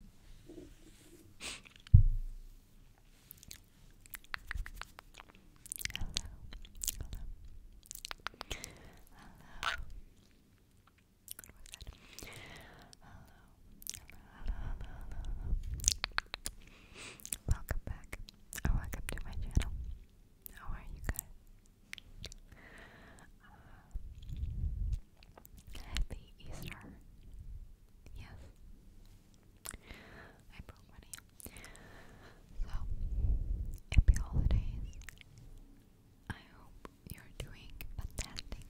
Hello. Welcome back. welcome to my channel. How are you guys? Uh, Happy Easter. Yes. I broke my So, happy holidays. I hope you're doing fantastic.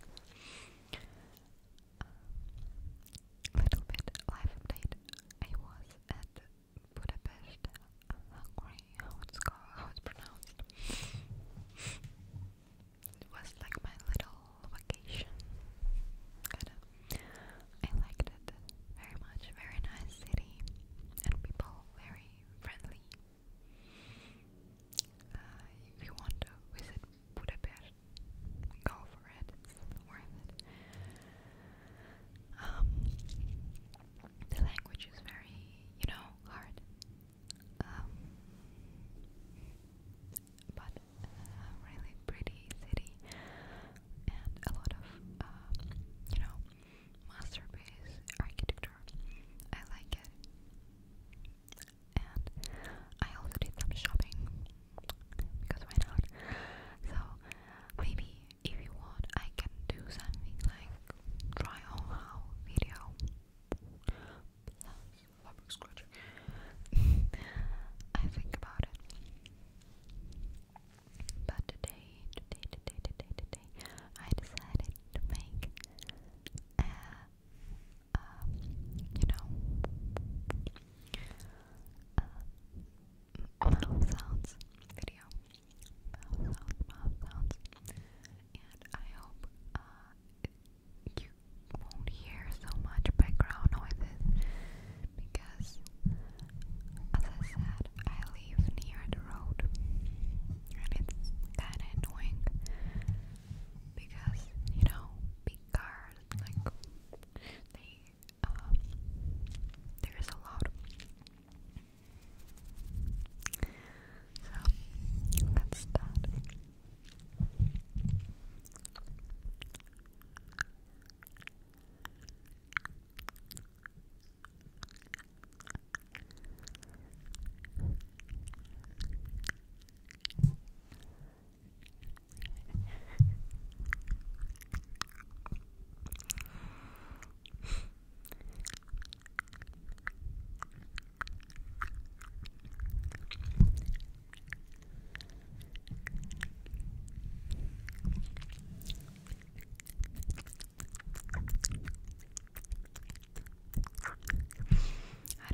little bit life update. I was at Budapest, Hungary, how it's, called, how it's pronounced was like my little vacation. kind I liked it very much. Very nice city and people very friendly. Uh, if you want to visit Budapest, go for it. It's worth it. Um, the language is very, you know, hard. Um, but a uh, really pretty city and a lot of, uh, you know, masterpiece architecture. I like it. And I also did some shopping because why not? So maybe if you want, I can do something like try on how video I think about it. But today, today, today, today, today, I decided to make a, um, you know, mouth sounds video. Mouth sounds, mouth sounds. And I hope uh, you won't hear so much background noises because, as I said, I live near the road and it's kinda annoying because, you know, big cars, like, they, um, there's a lot. So that's that. I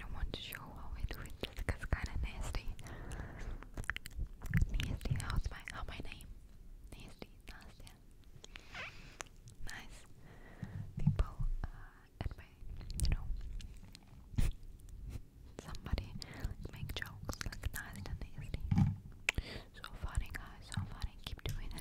don't want to show how I do it because it's kind of nasty. Nasty, how's my, my name? Nasty, nasty, nice people uh, at you know, somebody make jokes like nice and easily. So funny, guys, so funny, keep doing it.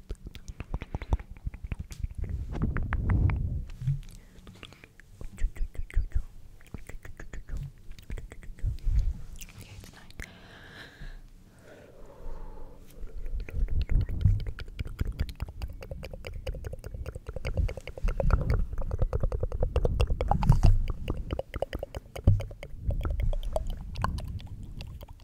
Okay, it's nine.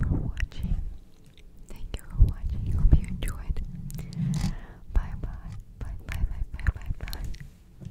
for watching. Thank you for watching. Hope you enjoyed. bye. Bye bye bye bye bye bye.